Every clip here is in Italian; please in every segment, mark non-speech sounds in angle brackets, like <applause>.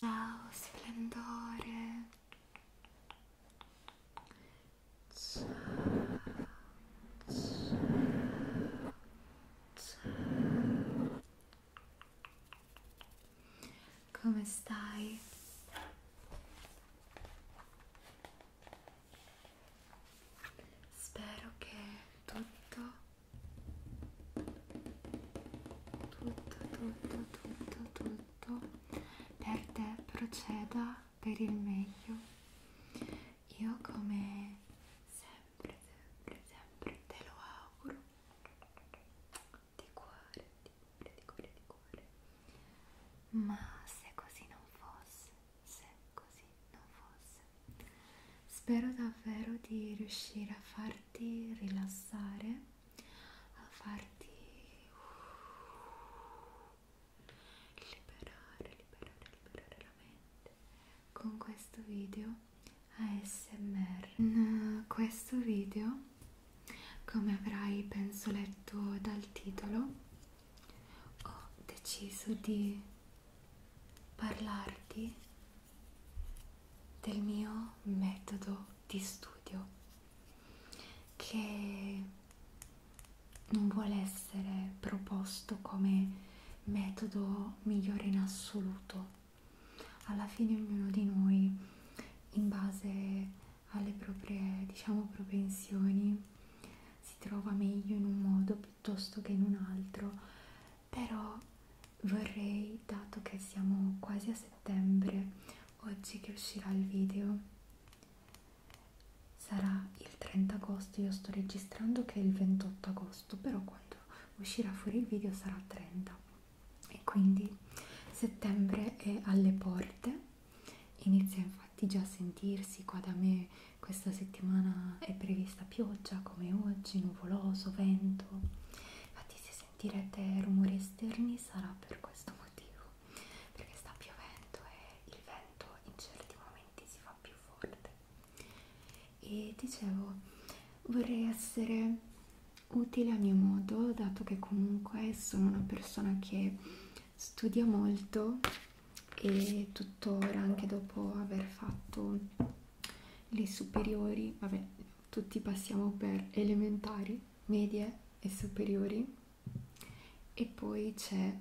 Ciao splendore. Ciao. Ciao. Ciao. Come stai? spero che tutto tutto tutto tutto tutto per te proceda per il meglio io come sempre sempre sempre te lo auguro di cuore di cuore di cuore di cuore ma se così non fosse se così non fosse. Spero davvero di riuscire a farti rilassare, a farti uh, liberare, liberare, liberare la mente con questo video ASMR. In eh, questo video, come avrai penso letto dal titolo, ho deciso di parlarti del mio metodo di studio che non vuole essere proposto come metodo migliore in assoluto alla fine ognuno di noi in base alle proprie diciamo propensioni si trova meglio in un modo piuttosto che in un altro, però vorrei, dato che siamo quasi a settembre, oggi che uscirà il video sarà il 30 agosto, io sto registrando che è il 28 agosto, però quando uscirà fuori il video sarà 30 e quindi settembre è alle porte Inizia infatti già a sentirsi qua da me questa settimana è prevista pioggia come oggi, nuvoloso, vento. Infatti se sentirete rumori esterni sarà per questo motivo, perché sta piovendo e il vento in certi momenti si fa più forte. E dicevo, vorrei essere utile a mio modo, dato che comunque sono una persona che studia molto e tuttora anche dopo aver fatto le superiori, vabbè, tutti passiamo per elementari, medie e superiori e poi c'è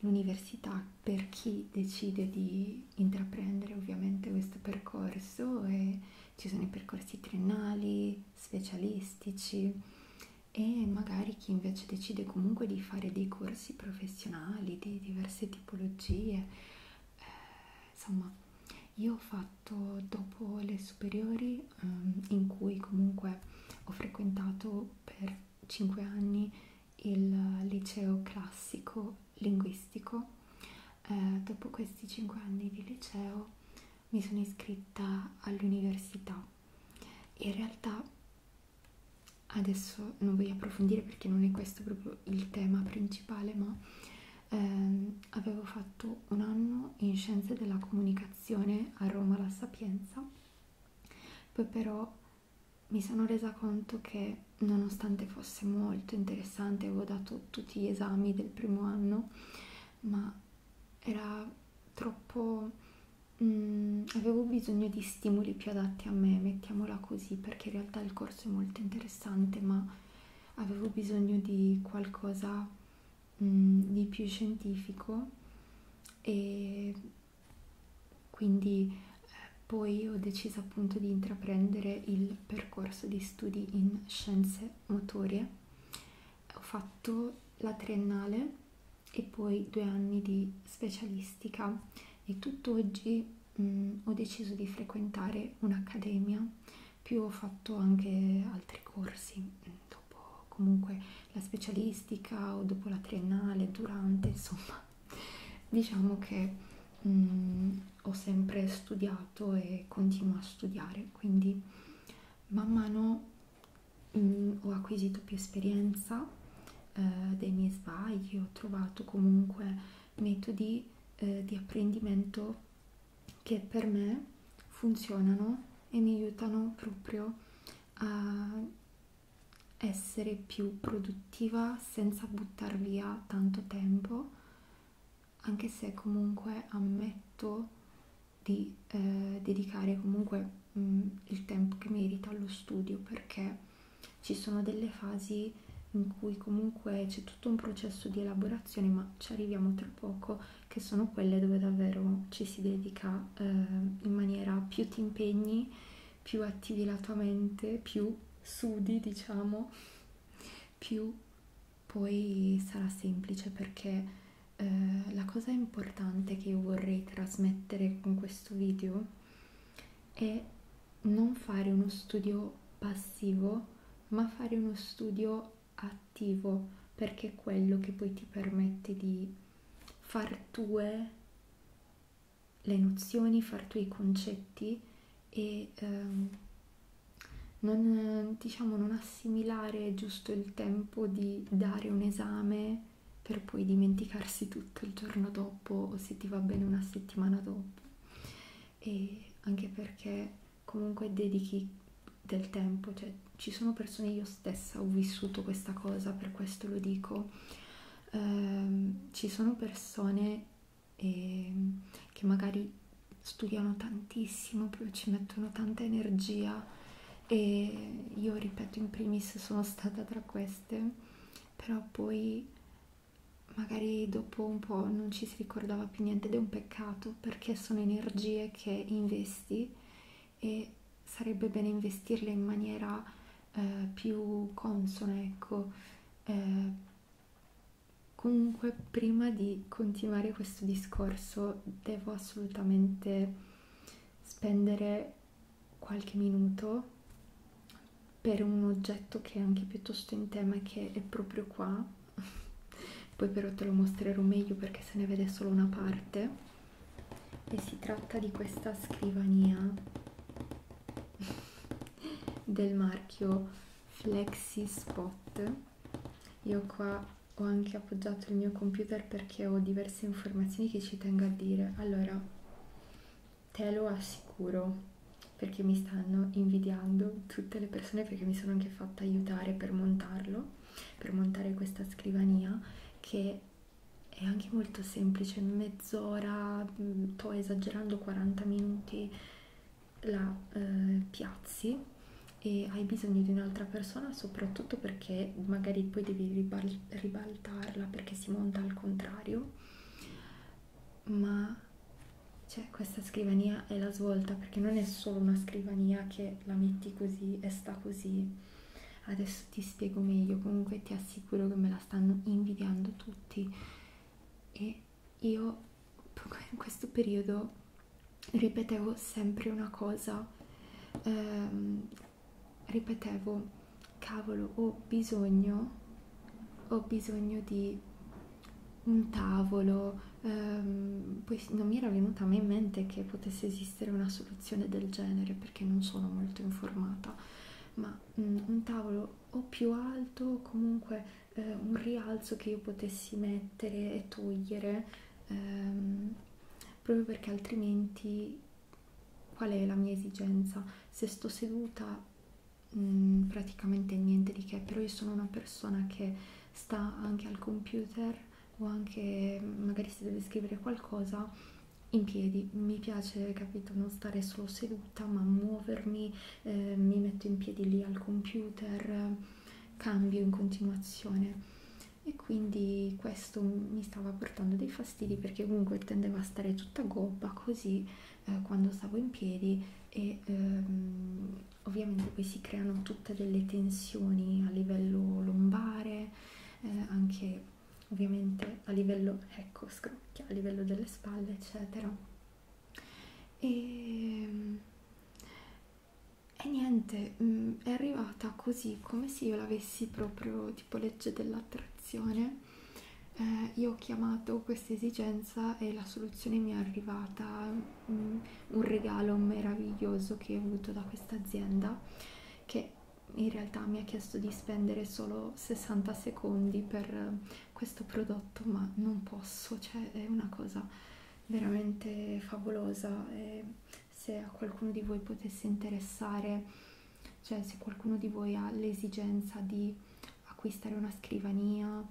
l'università per chi decide di intraprendere ovviamente questo percorso e ci sono i percorsi triennali, specialistici e magari chi invece decide comunque di fare dei corsi professionali di diverse tipologie eh, insomma io ho fatto dopo le superiori um, in cui comunque ho frequentato per 5 anni il liceo classico linguistico eh, dopo questi 5 anni di liceo mi sono iscritta all'università in realtà adesso non voglio approfondire perché non è questo proprio il tema principale, ma ehm, avevo fatto un anno in scienze della comunicazione a Roma La Sapienza, poi però mi sono resa conto che nonostante fosse molto interessante, avevo dato tutti gli esami del primo anno, ma era troppo mh, mm, avevo bisogno di stimoli più adatti a me, mettiamola così, perché in realtà il corso è molto interessante, ma avevo bisogno di qualcosa mh, mm, di più scientifico e quindi eh, poi ho deciso appunto di intraprendere il percorso di studi in scienze motorie ho fatto la triennale e poi due anni di specialistica e tutt'oggi mh, ho deciso di frequentare un'accademia più ho fatto anche altri corsi dopo comunque la specialistica o dopo la triennale durante insomma <laughs> diciamo che mh, ho sempre studiato e continuo a studiare quindi man mano mh, mm, ho acquisito più esperienza eh, dei miei sbagli, ho trovato comunque metodi eh, di apprendimento che per me funzionano e mi aiutano proprio a essere più produttiva senza buttar via tanto tempo anche se comunque ammetto di eh, dedicare comunque mh, mm, il tempo che merita allo studio perché ci sono delle fasi in cui comunque c'è tutto un processo di elaborazione ma ci arriviamo tra poco che sono quelle dove davvero ci si dedica eh, in maniera più ti impegni più attivi la tua mente più sudi diciamo più poi sarà semplice perché eh, la cosa importante che io vorrei trasmettere con questo video è non fare uno studio passivo, ma fare uno studio attivo, perché è quello che poi ti permette di far tue le nozioni, far tue i concetti e ehm, non, diciamo, non assimilare giusto il tempo di dare un esame per poi dimenticarsi tutto il giorno dopo o se ti va bene una settimana dopo e anche perché comunque dedichi del tempo cioè ci sono persone io stessa ho vissuto questa cosa per questo lo dico ehm, ci sono persone eh, che magari studiano tantissimo, ci mettono tanta energia e io ripeto in primis sono stata tra queste però poi magari dopo un po' non ci si ricordava più niente ed è un peccato perché sono energie che investi e sarebbe bene investirle in maniera eh, più consona ecco eh, comunque prima di continuare questo discorso devo assolutamente spendere qualche minuto per un oggetto che è anche piuttosto in tema e che è proprio qua <laughs> poi però te lo mostrerò meglio perché se ne vede solo una parte e si tratta di questa scrivania <laughs> del marchio Flexi Spot io qua ho anche appoggiato il mio computer perché ho diverse informazioni che ci tengo a dire. Allora, te lo assicuro perché mi stanno invidiando tutte le persone perché mi sono anche fatta aiutare per montarlo, per montare questa scrivania che è anche molto semplice, mezz'ora, mm, sto esagerando 40 minuti la eh, piazzi e hai bisogno di un'altra persona soprattutto perché magari poi devi ribaltarla perché si monta al contrario ma cioè, questa scrivania è la svolta perché non è solo una scrivania che la metti così e sta così adesso ti spiego meglio comunque ti assicuro che me la stanno invidiando tutti e io <laughs> in questo periodo ripetevo sempre una cosa ehm, ripetevo cavolo ho bisogno ho bisogno di un tavolo ehm, poi non mi era venuta mai in mente che potesse esistere una soluzione del genere perché non sono molto informata ma mh, mm, un tavolo o più alto o comunque eh, un rialzo che io potessi mettere e togliere ehm, proprio perché altrimenti qual è la mia esigenza? Se sto seduta mh, mm, praticamente niente di che, però io sono una persona che sta anche al computer o anche mm, magari se deve scrivere qualcosa in piedi, mi piace, capito, non stare solo seduta ma muovermi, eh, mi metto in piedi lì al computer, cambio in continuazione e quindi questo mi stava portando dei fastidi perché comunque tendeva a stare tutta gobba così eh, quando stavo in piedi e ehm, ovviamente poi si creano tutte delle tensioni a livello lombare eh, anche ovviamente a livello ecco scrocchia a livello delle spalle eccetera e ehm, e niente mh, mm, è arrivata così come se io l'avessi proprio tipo legge dell'attrazione eh, io ho chiamato questa esigenza e la soluzione mi è arrivata mh, mm, un regalo meraviglioso che ho avuto da questa azienda che in realtà mi ha chiesto di spendere solo 60 secondi per questo prodotto ma non posso cioè è una cosa veramente favolosa e se a qualcuno di voi potesse interessare, cioè se qualcuno di voi ha l'esigenza di acquistare una scrivania,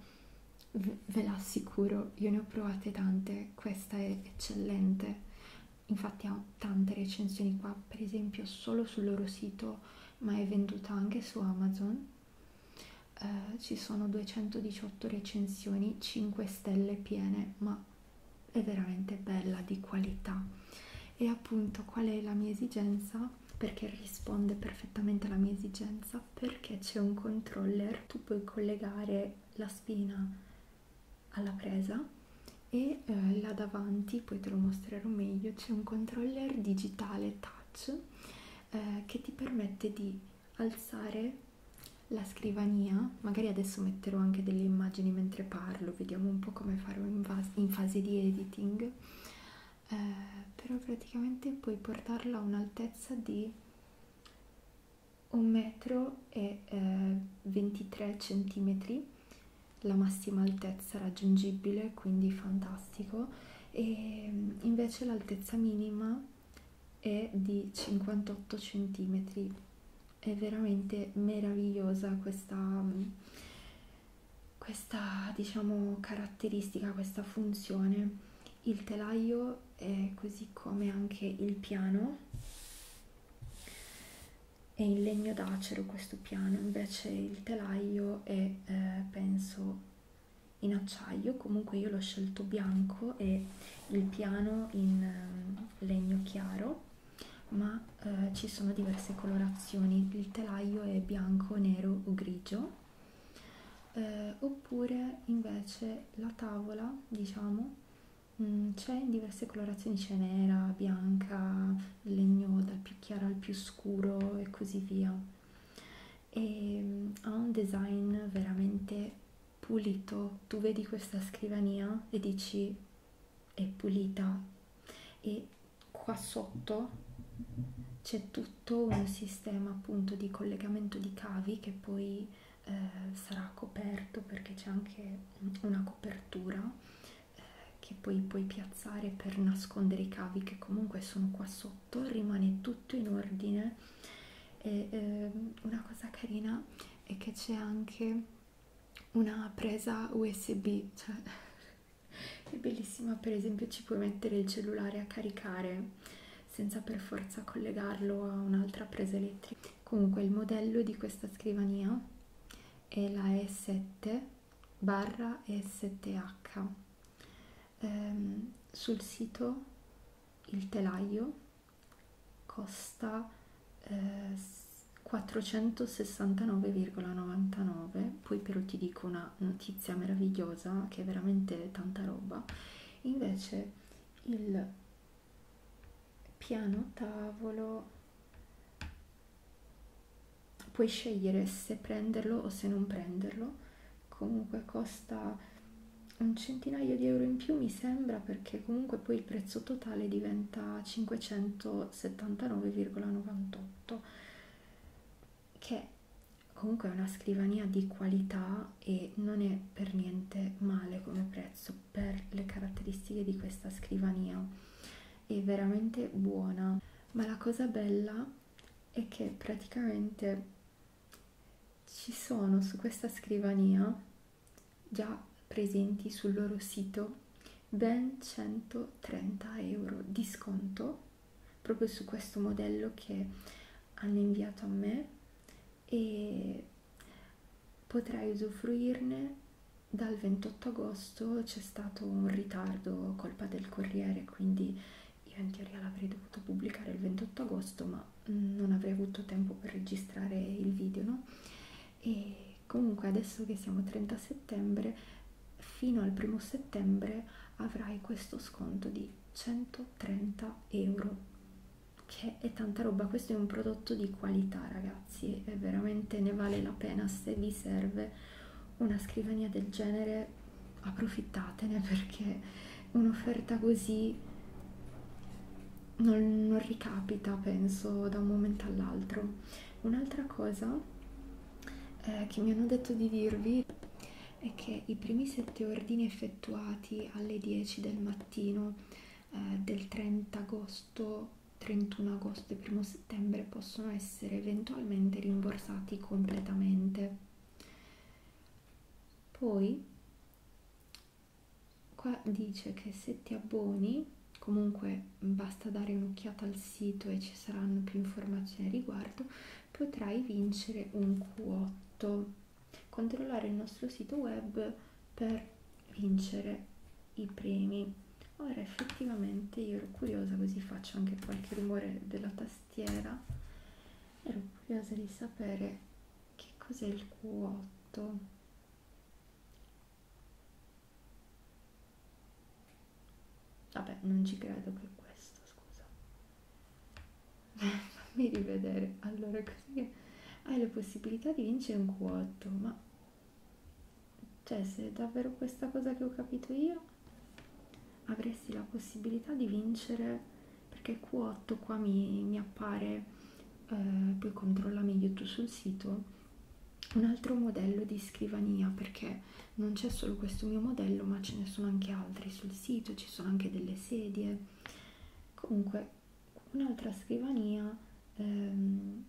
ve l'assicuro, io ne ho provate tante, questa è eccellente. Infatti ha tante recensioni qua, per esempio solo sul loro sito, ma è venduta anche su Amazon. Eh, ci sono 218 recensioni, 5 stelle piene, ma è veramente bella di qualità e appunto qual è la mia esigenza perché risponde perfettamente alla mia esigenza perché c'è un controller tu puoi collegare la spina alla presa e eh, là davanti poi te lo mostrerò meglio c'è un controller digitale touch eh, che ti permette di alzare la scrivania, magari adesso metterò anche delle immagini mentre parlo, vediamo un po' come farò in, in fase di editing, eh, però praticamente puoi portarla a un'altezza di 1 metro e eh, 23 centimetri, la massima altezza raggiungibile, quindi fantastico, e invece l'altezza minima è di 58 centimetri è veramente meravigliosa questa, questa diciamo caratteristica, questa funzione. Il telaio è così come anche il piano. È in legno d'acero questo piano, invece il telaio è eh, penso in acciaio, comunque io l'ho scelto bianco e il piano in eh, legno chiaro ma eh, ci sono diverse colorazioni il telaio è bianco nero o grigio eh, oppure invece la tavola diciamo mm, c'è in diverse colorazioni c'è nera bianca legno dal più chiaro al più scuro e così via e mm, ha un design veramente pulito, tu vedi questa scrivania e dici è pulita e qua sotto c'è tutto un sistema appunto di collegamento di cavi che poi eh, sarà coperto perché c'è anche una copertura eh, che poi puoi piazzare per nascondere i cavi che comunque sono qua sotto, rimane tutto in ordine e eh, una cosa carina è che c'è anche una presa usb cioè <laughs> è bellissima per esempio ci puoi mettere il cellulare a caricare senza per forza collegarlo a un'altra presa elettrica comunque il modello di questa scrivania è la E7 barra E7H ehm, sul sito il telaio costa eh, 469,99 poi però ti dico una notizia meravigliosa che è veramente tanta roba invece il piano tavolo puoi scegliere se prenderlo o se non prenderlo comunque costa un centinaio di euro in più mi sembra per perché comunque poi il prezzo totale diventa 579,98 che comunque è una scrivania di qualità e non è per niente male come prezzo per le caratteristiche di questa scrivania è veramente buona ma la cosa bella è che praticamente ci sono su questa scrivania già presenti sul loro sito ben 130 euro di sconto proprio su questo modello che hanno inviato a me e potrai usufruirne dal 28 agosto c'è stato un ritardo colpa del corriere quindi io in teoria l'avrei dovuto pubblicare il 28 agosto ma mm, non avrei avuto tempo per registrare il video no e comunque adesso che siamo 30 settembre fino al primo settembre avrai questo sconto di 130 euro che è tanta roba questo è un prodotto di qualità ragazzi e veramente ne vale la pena se vi serve una scrivania del genere approfittatene <laughs> perché un'offerta così non, non ricapita, penso, da un momento all'altro. Un'altra cosa eh, che mi hanno detto di dirvi è che i primi sette ordini effettuati alle 10 del mattino eh, del 30 agosto, 31 agosto e 1 settembre possono essere eventualmente rimborsati completamente. Poi qua dice che se ti abboni comunque basta dare un'occhiata al sito e ci saranno più informazioni a riguardo potrai vincere un Q8 controllare il nostro sito web per vincere i premi ora effettivamente io ero curiosa così faccio anche qualche rumore della tastiera ero curiosa di sapere che cos'è il Q8 Vabbè, non ci credo che questo, scusa. <laughs> Fammi rivedere. Allora, così che hai le possibilità di vincere un Q8, ma... Cioè, se è davvero questa cosa che ho capito io, avresti la possibilità di vincere... Perché Q8 qua mi, mi appare eh, poi controlla meglio tu sul sito un altro modello di scrivania perché non c'è solo questo mio modello ma ce ne sono anche altri sul sito ci sono anche delle sedie comunque un'altra scrivania ehm,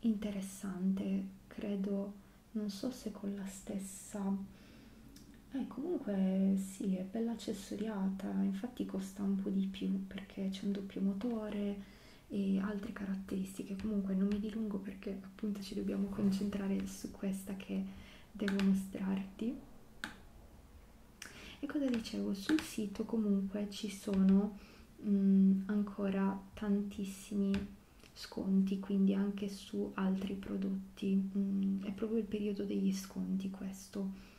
interessante credo non so se con la stessa eh, comunque sì è bella accessoriata infatti infatti costa un po' di più perché c'è un doppio motore e altre caratteristiche comunque non mi dilungo perché appunto ci dobbiamo concentrare su questa che devo mostrarti e cosa dicevo sul sito comunque ci sono mh, mm, ancora tantissimi sconti quindi anche su altri prodotti mh, mm, è proprio il periodo degli sconti questo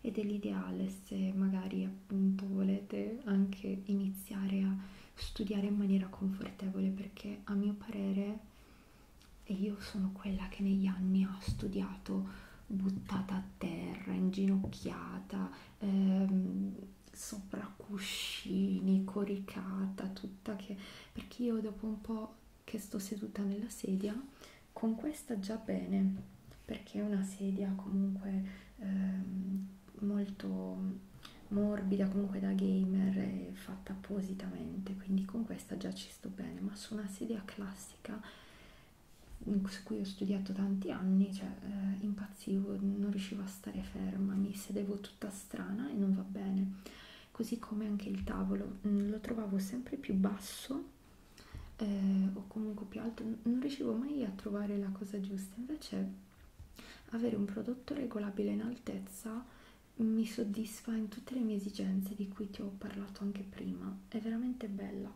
ed è l'ideale se magari appunto volete anche iniziare a studiare in maniera confortevole perché a mio parere e io sono quella che negli anni ha studiato buttata a terra, inginocchiata, ehm, sopra cuscini, coricata, tutta che perché io dopo un po' che sto seduta nella sedia con questa già bene perché è una sedia comunque ehm, molto morbida comunque da gamer è fatta appositamente quindi con questa già ci sto bene ma su una sedia classica su cui ho studiato tanti anni cioè eh, impazzivo non riuscivo a stare ferma mi sedevo tutta strana e non va bene così come anche il tavolo mm, lo trovavo sempre più basso eh, o comunque più alto, non riuscivo mai a trovare la cosa giusta, invece avere un prodotto regolabile in altezza mi soddisfa in tutte le mie esigenze di cui ti ho parlato anche prima, è veramente bella.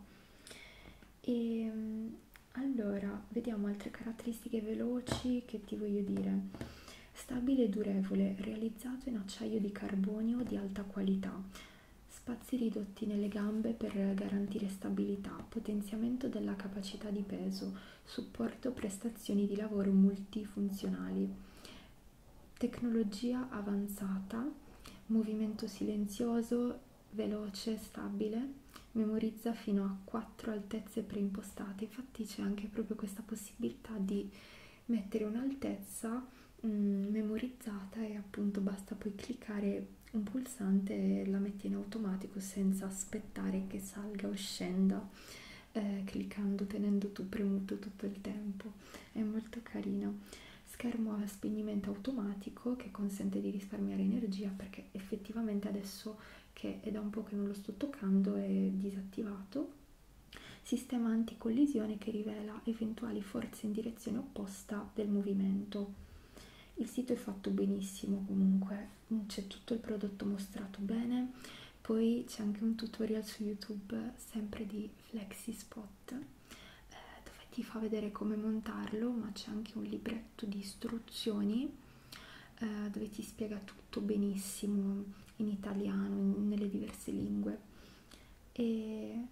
E ehm, allora, vediamo altre caratteristiche veloci che ti voglio dire. Stabile e durevole, realizzato in acciaio di carbonio di alta qualità spazi ridotti nelle gambe per garantire stabilità, potenziamento della capacità di peso, supporto prestazioni di lavoro multifunzionali, tecnologia avanzata, movimento silenzioso, veloce, stabile, memorizza fino a quattro altezze preimpostate, infatti c'è anche proprio questa possibilità di mettere un'altezza mm, memorizzata e appunto basta poi cliccare un pulsante la metti in automatico senza aspettare che salga o scenda eh, cliccando tenendo tu premuto tutto il tempo è molto carino schermo a spegnimento automatico che consente di risparmiare energia perché effettivamente adesso che è da un po' che non lo sto toccando è disattivato sistema anticollisione che rivela eventuali forze in direzione opposta del movimento il sito è fatto benissimo comunque mm, c'è tutto il prodotto mostrato bene poi c'è anche un tutorial su youtube sempre di flexi spot eh, dove ti fa vedere come montarlo ma c'è anche un libretto di istruzioni eh, dove ti spiega tutto benissimo in italiano in, nelle diverse lingue e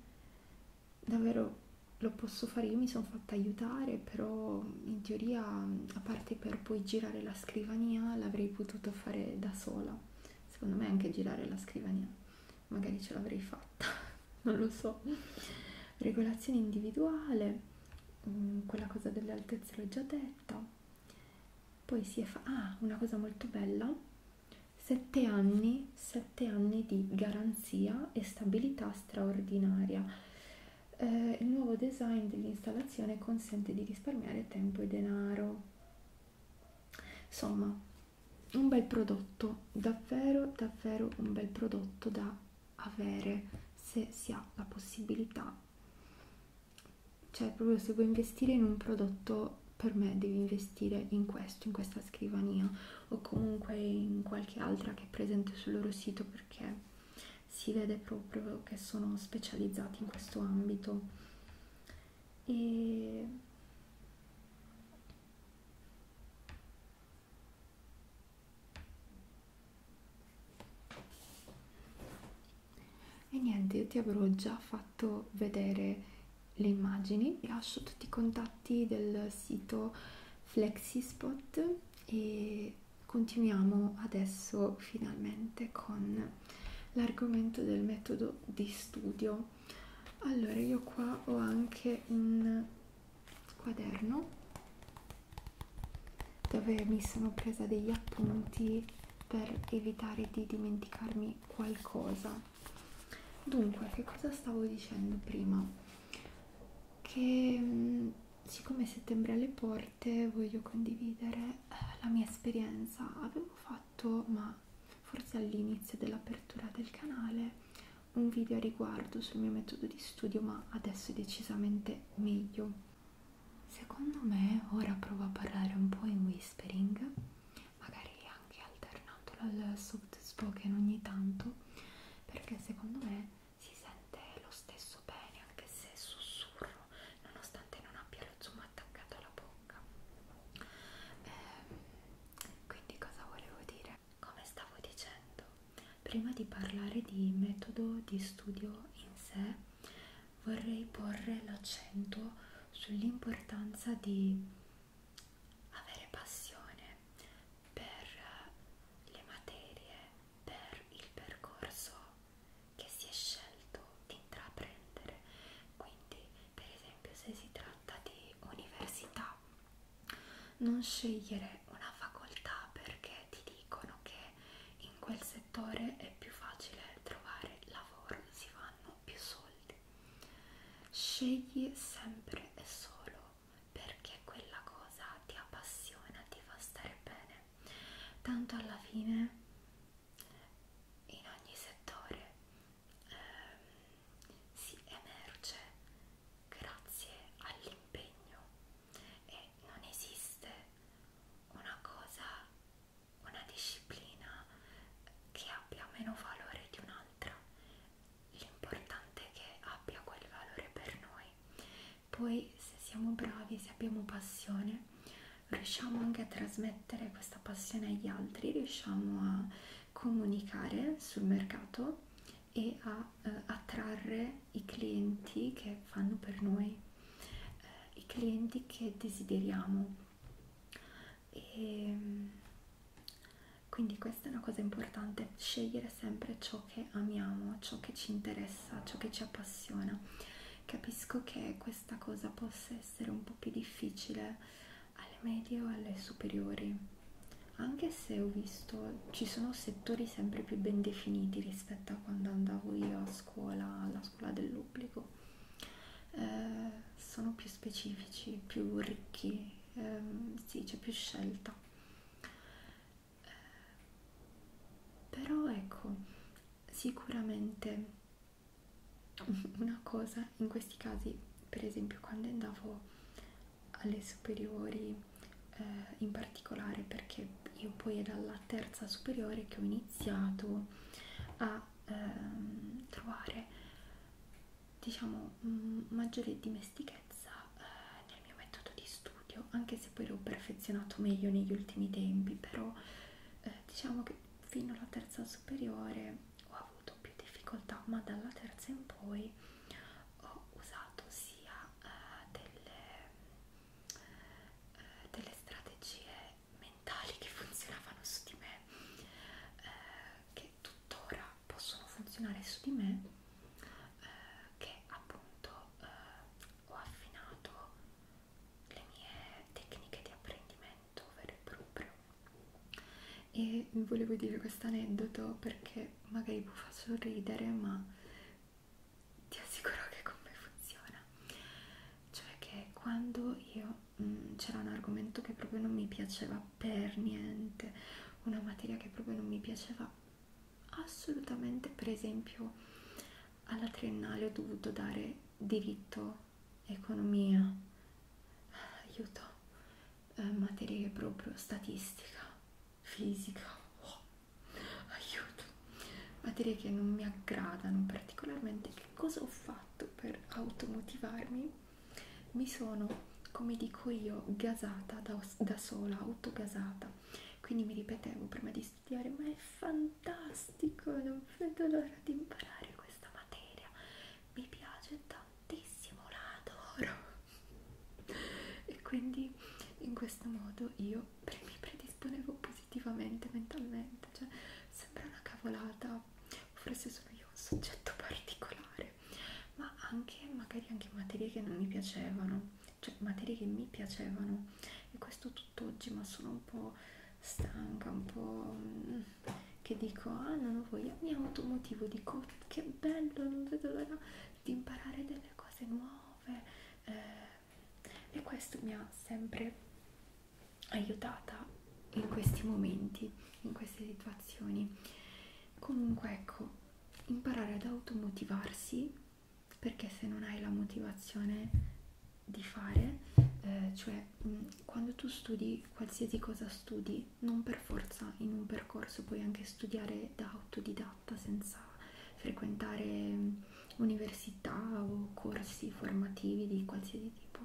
davvero lo posso fare, io mi sono fatta aiutare, però in teoria, a parte per poi girare la scrivania, l'avrei potuto fare da sola. Secondo me anche girare la scrivania, magari ce l'avrei fatta, <laughs> non lo so. Regolazione individuale, mm, quella cosa delle altezze l'ho già detta. Poi si è fa... Ah, una cosa molto bella sette anni, sette anni di garanzia e stabilità straordinaria. Eh, il nuovo design dell'installazione consente di risparmiare tempo e denaro. Insomma, un bel prodotto, davvero, davvero un bel prodotto da avere se si ha la possibilità. Cioè, proprio se vuoi investire in un prodotto, per me devi investire in questo, in questa scrivania o comunque in qualche altra che è presente sul loro sito perché si vede proprio che sono specializzati in questo ambito e e niente io ti avrò già fatto vedere le immagini, lascio tutti i contatti del sito Flexispot e continuiamo adesso finalmente con l'argomento del metodo di studio. Allora, io qua ho anche un quaderno dove mi sono presa degli appunti per evitare di dimenticarmi qualcosa Dunque, che cosa stavo dicendo prima? Che siccome settembre alle porte voglio condividere eh, la mia esperienza. Avevo fatto, ma forse all'inizio dell'apertura del canale, un video a riguardo sul mio metodo di studio, ma adesso è decisamente meglio. Secondo me ora provo a parlare un po' in whispering, magari anche alternatolo al soft spoken ogni tanto perché secondo me si sente lo stesso bene anche se sussurro nonostante non abbia lo zoom attaccato alla bocca eh, quindi cosa volevo dire? come stavo dicendo prima di parlare di metodo di studio in sé vorrei porre l'accento sull'importanza di avere passione per eh, le materie, per il percorso che si è scelto di intraprendere. Quindi, per esempio, se si tratta di università, non scegliere una facoltà perché ti dicono che in quel settore è più facile trovare lavoro, si fanno più soldi. Scegli sempre e solo perché quella cosa ti appassiona, ti fa stare bene. Tanto alla fine, in ogni settore, ehm, si emerge grazie all'impegno e non esiste una cosa, una disciplina che abbia meno valore di un'altra l'importante è che abbia quel valore per noi. Poi se siamo bravi, se abbiamo passione, riusciamo anche a trasmettere questa passione agli altri, riusciamo a comunicare sul mercato e a eh, attrarre i clienti che fanno per noi, eh, i clienti che desideriamo. E ehm, quindi questa è una cosa importante, scegliere sempre ciò che amiamo, ciò che ci interessa, ciò che ci appassiona. Capisco che questa cosa possa essere un po' più difficile alle medie o alle superiori, anche se ho visto ci sono settori sempre più ben definiti rispetto a quando andavo io a scuola, alla scuola dell'obbligo. Eh, sono più specifici, più ricchi ehm, sì c'è più scelta eh, però ecco sicuramente <laughs> una cosa in questi casi per esempio quando andavo alle superiori eh, in particolare perché io poi è dalla terza superiore che ho iniziato a ehm, trovare diciamo mh, maggiore dimestichezza eh, nel mio metodo di studio anche se poi l'ho perfezionato meglio negli ultimi tempi però eh, diciamo che fino alla terza superiore ho avuto più difficoltà ma dalla terza in poi ho usato sia eh, delle, eh, delle strategie mentali che <laughs> funzionavano su di me eh, che che tuttora possono funzionare su di me eh, che appunto eh, ho affinato le mie tecniche di apprendimento vero e proprio e volevo dire questo aneddoto perché magari vi fa sorridere ma ti assicuro che con me funziona cioè che quando io mm, c'era un argomento che proprio non mi piaceva per niente una materia che proprio non mi piaceva assolutamente per esempio alla triennale ho dovuto dare diritto economia aiuto eh, materie proprio statistica fisica oh, aiuto materie che non mi aggradano particolarmente che cosa ho fatto per automotivarmi mi sono come dico io gasata da, da sola autogasata quindi mi ripetevo prima di studiare ma è fantastico non vedo l'ora di imparare questa materia mi piace tantissimo la adoro e quindi in questo modo io mi predisponevo positivamente mentalmente cioè sembra una cavolata forse sono io un soggetto particolare sempre ma anche magari anche materie che non mi piacevano cioè materie che mi piacevano e questo tutt'oggi ma sono un po' stanca un po' mm, che dico ah non ho voglia mi automotivo dico che bello non vedo l'ora di imparare delle cose nuove eh, e questo mi ha sempre aiutata in questi momenti in queste situazioni comunque ecco imparare ad automotivarsi perché se non hai la motivazione di fare eh, cioè mh, mm, quando tu studi qualsiasi cosa studi non per forza in un percorso puoi anche studiare da autodidatta senza frequentare mm, università o corsi formativi di qualsiasi tipo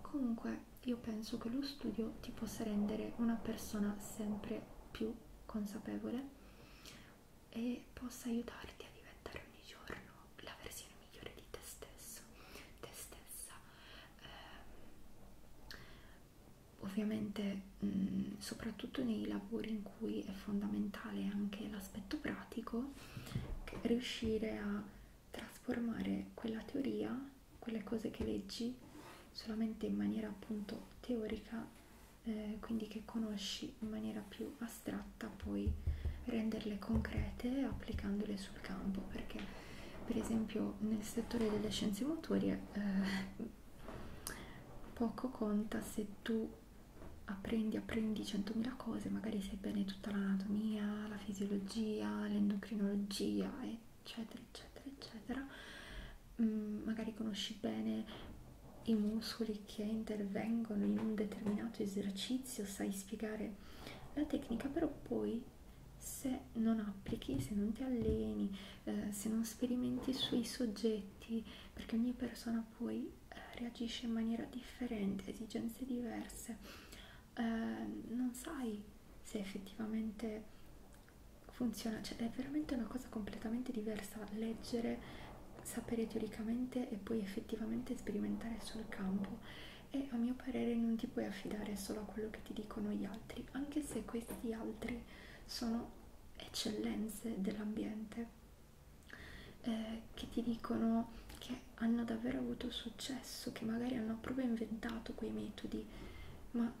comunque io penso che lo studio ti possa rendere una persona sempre più consapevole e possa aiutarti a diventare ogni giorno la versione migliore di te stesso, te stessa. Eh, ovviamente, mh, mm, soprattutto nei lavori in cui è fondamentale anche l'aspetto pratico, riuscire a trasformare quella teoria quelle cose che leggi solamente in maniera appunto teorica, eh, quindi che conosci in maniera più astratta, poi renderle concrete applicandole sul campo, perché per esempio nel settore delle scienze motorie eh, poco conta se tu apprendi, apprendi 100.000 cose, magari sai bene tutta l'anatomia, la fisiologia, l'endocrinologia e eccetera eccetera eccetera mm, magari conosci bene i muscoli che intervengono in un determinato esercizio sai spiegare la tecnica però poi se non applichi se non ti alleni eh, se non sperimenti sui soggetti perché ogni persona poi eh, reagisce in maniera differente a esigenze diverse eh, non sai se effettivamente funziona, cioè è veramente una cosa completamente diversa leggere, sapere teoricamente e poi effettivamente sperimentare sul campo e a mio parere non ti puoi affidare solo a quello che ti dicono gli altri, anche se questi altri sono eccellenze dell'ambiente eh, che ti dicono che hanno davvero avuto successo, che magari hanno proprio inventato quei metodi, ma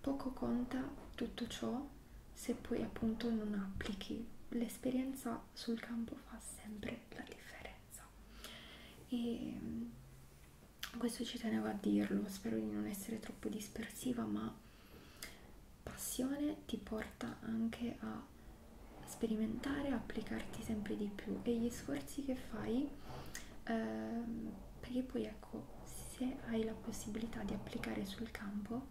poco conta tutto ciò se poi appunto non applichi. L'esperienza sul campo fa sempre la differenza. E mm, questo ci tenevo a dirlo, spero di non essere troppo dispersiva, ma passione ti porta anche a sperimentare, applicarti sempre di più e gli sforzi che fai, ehm, perché poi ecco se hai la possibilità di applicare sul campo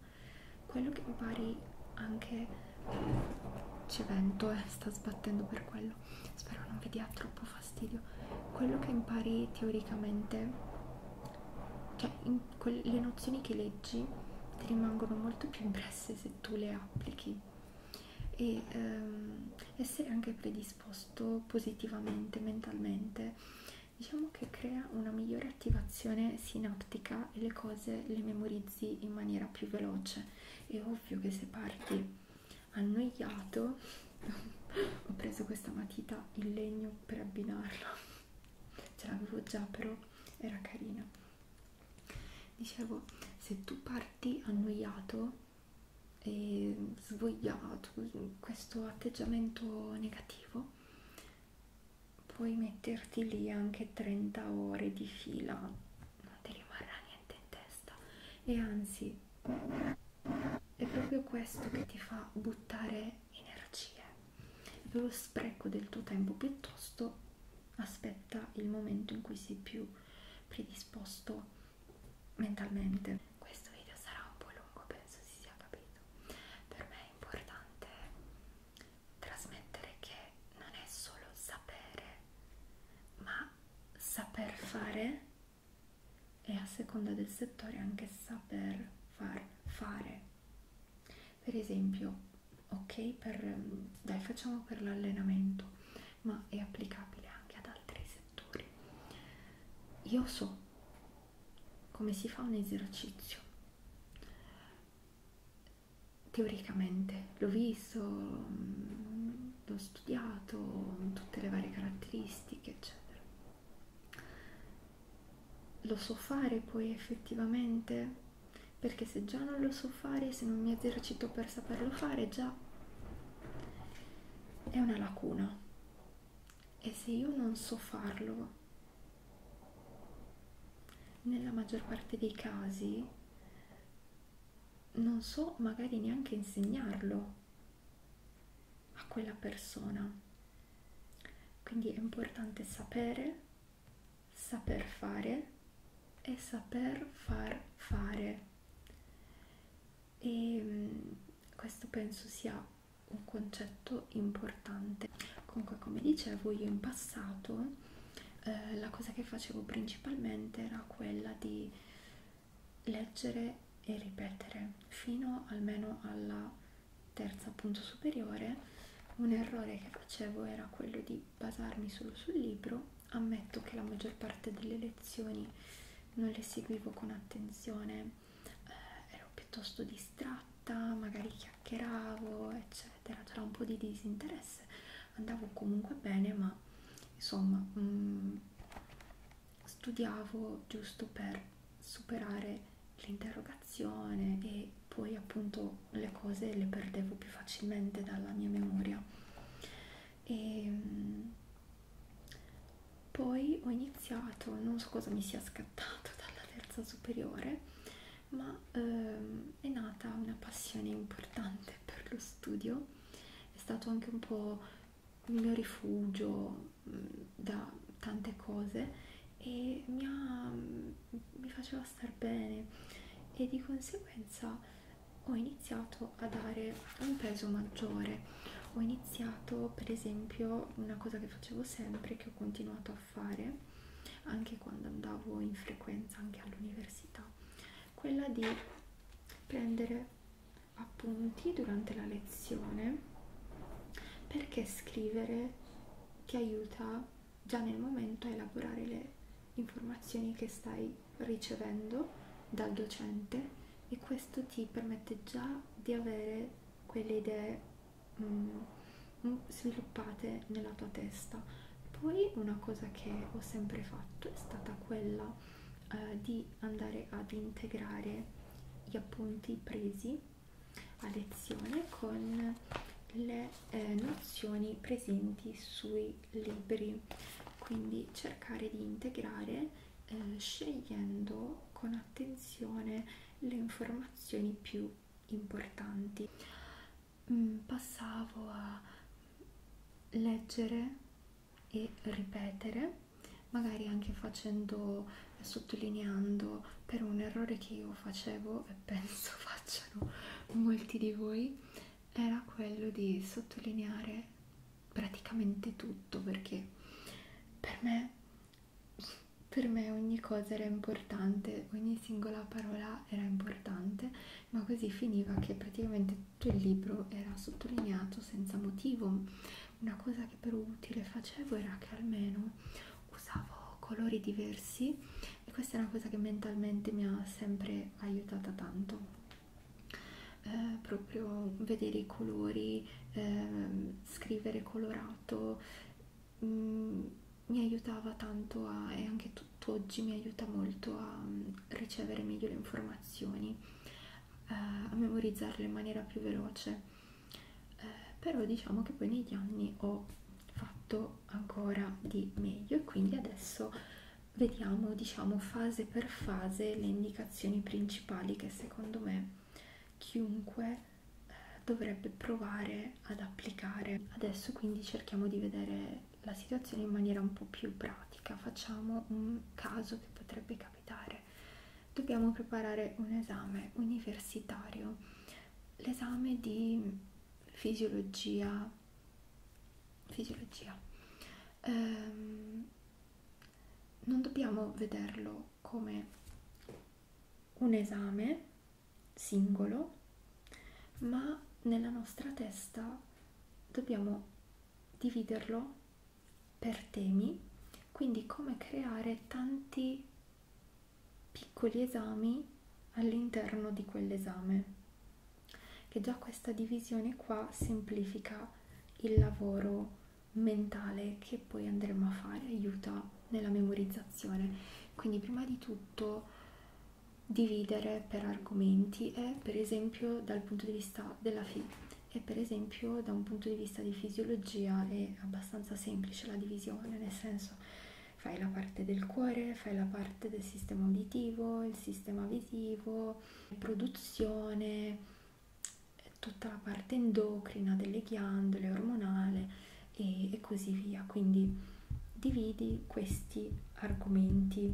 quello che impari anche eh, c'è vento eh, sta sbattendo per quello spero non vi dia troppo fastidio quello che impari teoricamente cioè le nozioni che leggi ti rimangono molto più impresse se tu le applichi e ehm, essere anche predisposti predisposto positivamente mentalmente, diciamo che crea una migliore attivazione sinaptica e le cose le memorizzi in maniera più veloce. È ovvio che se parti annoiato, <laughs> ho preso questa matita in legno per abbinarla, <laughs> ce l'avevo già però era carina. Dicevo, se tu parti annoiato e svogliato, questo atteggiamento negativo, puoi metterti lì anche 30 ore di fila, non ti rimarrà niente in testa e anzi è proprio questo che ti fa buttare energie, lo spreco del tuo tempo piuttosto aspetta il momento in cui sei più predisposto mentalmente. Questo video sarà un po' lungo, penso si sia capito. Per me è importante trasmettere che non è solo sapere, ma saper fare e a seconda del settore anche saper far fare. Per esempio, ok, per, dai facciamo per l'allenamento ma è applicabile anche ad altri settori. Io so come si fa un esercizio. Teoricamente l'ho visto, mm, l'ho studiato, tutte le varie caratteristiche, eccetera. Lo so fare poi effettivamente perché se già non lo so fare, se non mi esercito per saperlo fare, già è una lacuna e se io non so farlo nella maggior parte dei casi non so magari neanche insegnarlo a quella persona quindi è importante sapere saper fare e saper far fare e mm, questo penso sia un concetto importante comunque come dicevo io in passato eh, la cosa che facevo principalmente era quella di leggere e ripetere fino almeno alla terza punto superiore un errore che facevo era quello di basarmi solo sul libro ammetto che la maggior parte delle lezioni non le seguivo con attenzione, eh, ero piuttosto distratta, magari chiacchieravo, eccetera, c'era un po' di disinteresse, andavo comunque bene, ma insomma mh, mm, studiavo giusto per superare l'interrogazione e poi appunto le cose le perdevo più facilmente dalla mia memoria e ehm, poi ho iniziato, non so cosa mi sia scattato <laughs> dalla terza superiore, ma ehm, è nata una passione importante per lo studio, è stato anche un po' il mio rifugio mh, mm, da tante cose e mi, ha, mm, mi faceva star bene e di conseguenza ho iniziato iniziato a dare un peso maggiore ho iniziato per esempio una cosa che facevo sempre che ho continuato a fare anche quando andavo in frequenza anche all'università quella di prendere appunti durante la lezione perché scrivere ti aiuta già nel momento a elaborare le informazioni che stai ricevendo dal docente e questo ti permette già di avere quelle idee mm, mm, sviluppate nella tua testa. Poi una cosa che ho sempre fatto è stata quella eh, di andare ad integrare gli appunti presi a lezione con le eh, nozioni presenti sui libri quindi cercare di integrare eh, scegliendo con attenzione le informazioni più importanti. Mm, passavo a leggere e ripetere, magari anche facendo, sottolineando per un errore che io facevo e <laughs> penso facciano molti di voi, era quello di sottolineare praticamente tutto perché per me, per me ogni cosa era importante, ogni singola parola era importante, ma così finiva che praticamente tutto il libro era sottolineato senza motivo. Una cosa che per utile facevo era che almeno usavo colori diversi e questa è una cosa che mentalmente mi ha sempre aiutata tanto eh, proprio vedere i colori, eh, scrivere colorato, mh, mm, mi aiutava tanto a, e anche tutt'oggi mi aiuta molto a mm, ricevere meglio le informazioni, eh, a memorizzarle in maniera più veloce, eh, però diciamo che poi negli anni ho fatto ancora di meglio e quindi adesso vediamo diciamo fase per fase le indicazioni indicazioni principali che secondo me chiunque eh, dovrebbe provare ad applicare. Adesso quindi cerchiamo di vedere la situazione in maniera un po' più pratica, facciamo un caso che potrebbe capitare. Dobbiamo preparare un esame universitario, l'esame di fisiologia, fisiologia. Ehm, non dobbiamo vederlo come un esame singolo, ma nella nostra testa dobbiamo dividerlo per temi, quindi come creare tanti piccoli esami all'interno di quell'esame che già questa divisione qua semplifica il lavoro mentale che poi andremo a fare, aiuta nella memorizzazione. Quindi prima di tutto dividere per argomenti e per esempio dal punto di vista della figlia e per esempio da un punto di vista di fisiologia è abbastanza semplice la divisione, nel senso fai la parte del cuore, fai la parte del sistema uditivo, il sistema visivo, produzione, tutta la parte endocrina delle ghiandole, ormonale e, e così via. Quindi dividi questi argomenti,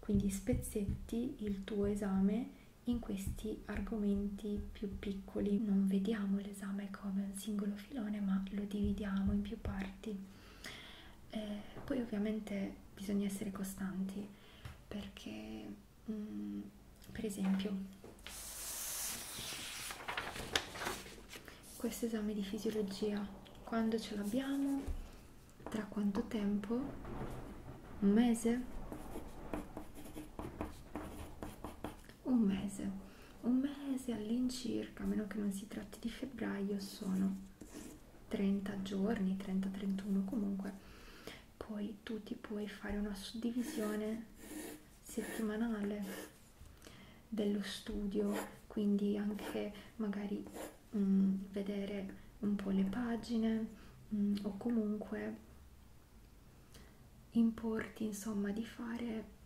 quindi spezzetti il tuo esame in questi argomenti più piccoli. Non vediamo l'esame come un singolo filone, ma lo dividiamo in più parti. Eh, poi ovviamente bisogna essere costanti perché mh, mm, per esempio questo esame di fisiologia quando ce l'abbiamo tra quanto tempo un mese un mese un mese all'incirca a meno che non si tratti di febbraio sono 30 giorni 30 31 comunque poi tu ti puoi fare una suddivisione settimanale dello studio, quindi anche magari mh, mm, vedere un po' le pagine mh, mm, o comunque importi insomma di fare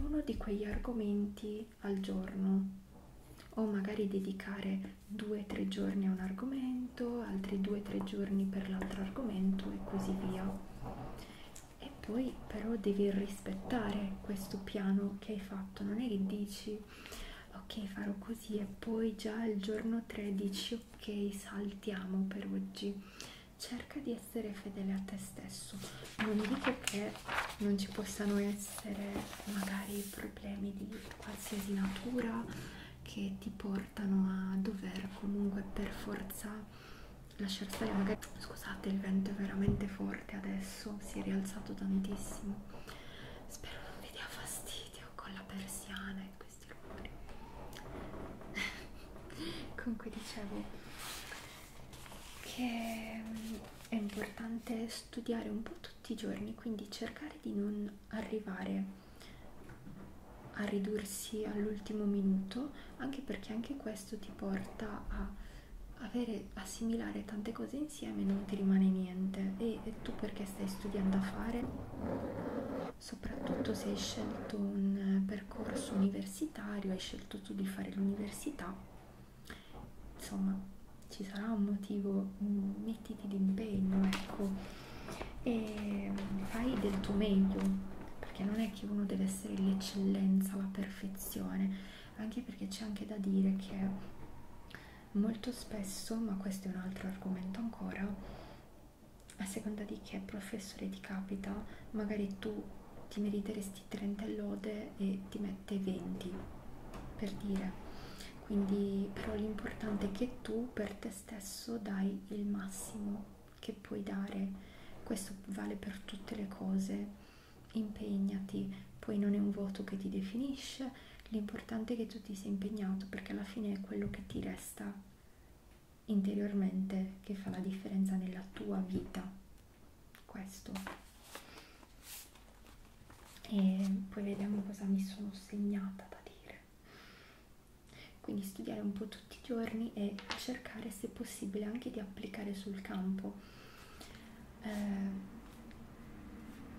uno di quegli argomenti al giorno o magari dedicare due o tre giorni a un argomento, altri due o tre giorni per l'altro argomento e così via. E poi però devi rispettare questo piano che hai fatto, non è che dici ok farò così e poi già il giorno 3 dici ok saltiamo per oggi. Cerca di essere fedele a te stesso. Non dico che non ci possano essere magari problemi di qualsiasi natura che ti portano a dover comunque per forza lasciar stare magari scusate il vento è veramente forte adesso si è rialzato tantissimo spero non vi dia fastidio con la persiana e questi rumori <laughs> comunque dicevo che mm, è importante studiare un po' tutti tutti i giorni, quindi cercare di non arrivare a ridursi all'ultimo minuto, anche perché anche questo ti porta a avere assimilare tante cose insieme non ti rimane niente e, e tu perché stai studiando a fare soprattutto se hai scelto un percorso universitario hai scelto tu di fare l'università insomma ci sarà un motivo mm, mettiti d'impegno, ecco, e mm, fai del tuo meglio, perché non è che uno deve essere l'eccellenza o la perfezione, anche perché c'è anche da dire che molto spesso, ma questo è un altro argomento ancora, a seconda di che professore ti capita, magari tu ti meriteresti 30 lode e ti mette 20 per dire quindi però l'importante è che tu per te stesso dai il massimo che puoi dare questo vale per tutte le cose impegnati poi non è un voto che ti definisce l'importante è che tu ti sia impegnato perché alla fine è quello che ti resta interiormente che fa la differenza nella tua vita questo e poi vediamo cosa mi sono segnata da dire leggere. Quindi studiare un po' tutti i giorni e cercare se possibile anche di applicare sul campo. Eh,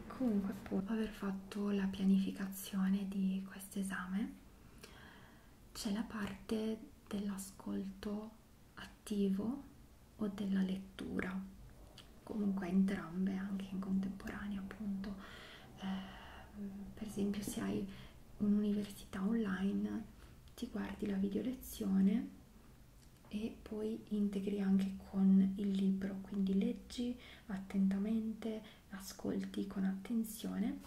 comunque poi aver fatto la pianificazione di questo esame c'è la parte dell'ascolto attivo o della lettura comunque entrambe anche in contemporanea appunto eh, per esempio se hai un'università online ti guardi la video lezione e poi integri anche con il libro quindi leggi attentamente ascolti con attenzione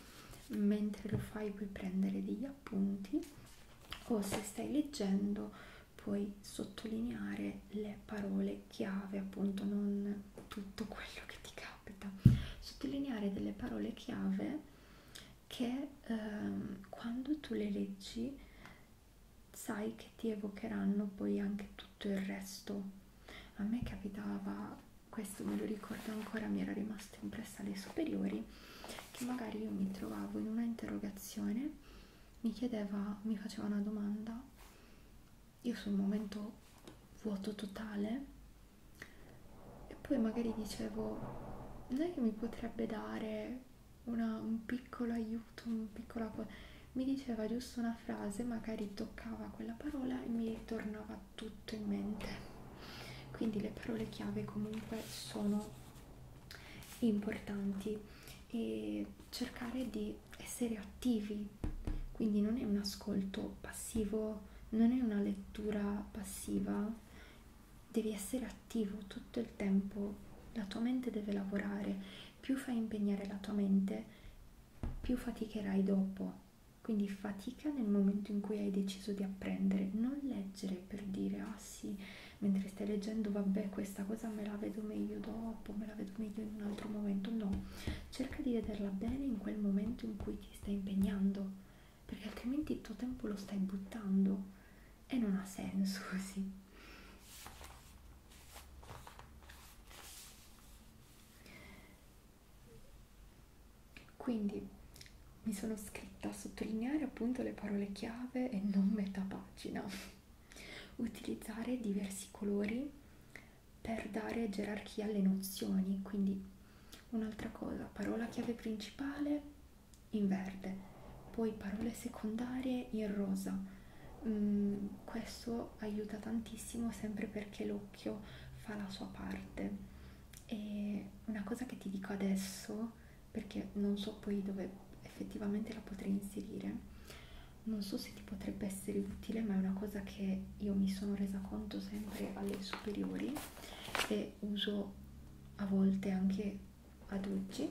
mentre lo fai puoi prendere degli appunti o se stai leggendo puoi sottolineare le parole delle chiave, appunto, non tutto quello che ti capita. Sottolineare delle parole chiave che ehm, quando tu le leggi sai che ti evocheranno poi anche tutto il resto. A me capitava, questo me lo ricordo ancora, mi era rimasto impressa alle superiori, che magari io mi trovavo in una interrogazione, mi chiedeva, mi faceva una domanda io sono un momento vuoto totale e poi magari dicevo non è che mi potrebbe dare una, un piccolo aiuto, un piccola cosa mi diceva giusto una frase, magari toccava quella parola e mi ritornava tutto in mente. Quindi le parole chiave comunque sono importanti e cercare di essere attivi, quindi non è un ascolto passivo, non è una lettura passiva, devi essere attivo tutto il tempo, la tua mente deve lavorare, più fai impegnare la tua mente, più faticherai dopo. Quindi fatica nel momento in cui hai deciso di apprendere, non leggere per dire ah sì, mentre stai leggendo vabbè questa cosa me la vedo meglio dopo, me la vedo meglio in un altro momento, no cerca di vederla bene in quel momento in cui ti stai impegnando, perché altrimenti il tuo tempo lo stai buttando e non ha senso <laughs> così. Quindi mi sono scritta a sottolineare appunto le parole chiave e non metà pagina, <laughs> utilizzare diversi colori per dare gerarchia alle nozioni, quindi un'altra cosa, parola chiave principale in verde, poi parole secondarie in rosa. Mm, questo aiuta tantissimo sempre perché l'occhio fa la sua parte. E una cosa che ti dico adesso, perché non so poi dove effettivamente la potrei inserire, non so se ti potrebbe essere utile ma è una cosa che io mi sono resa conto sempre alle superiori e uso a volte anche ad oggi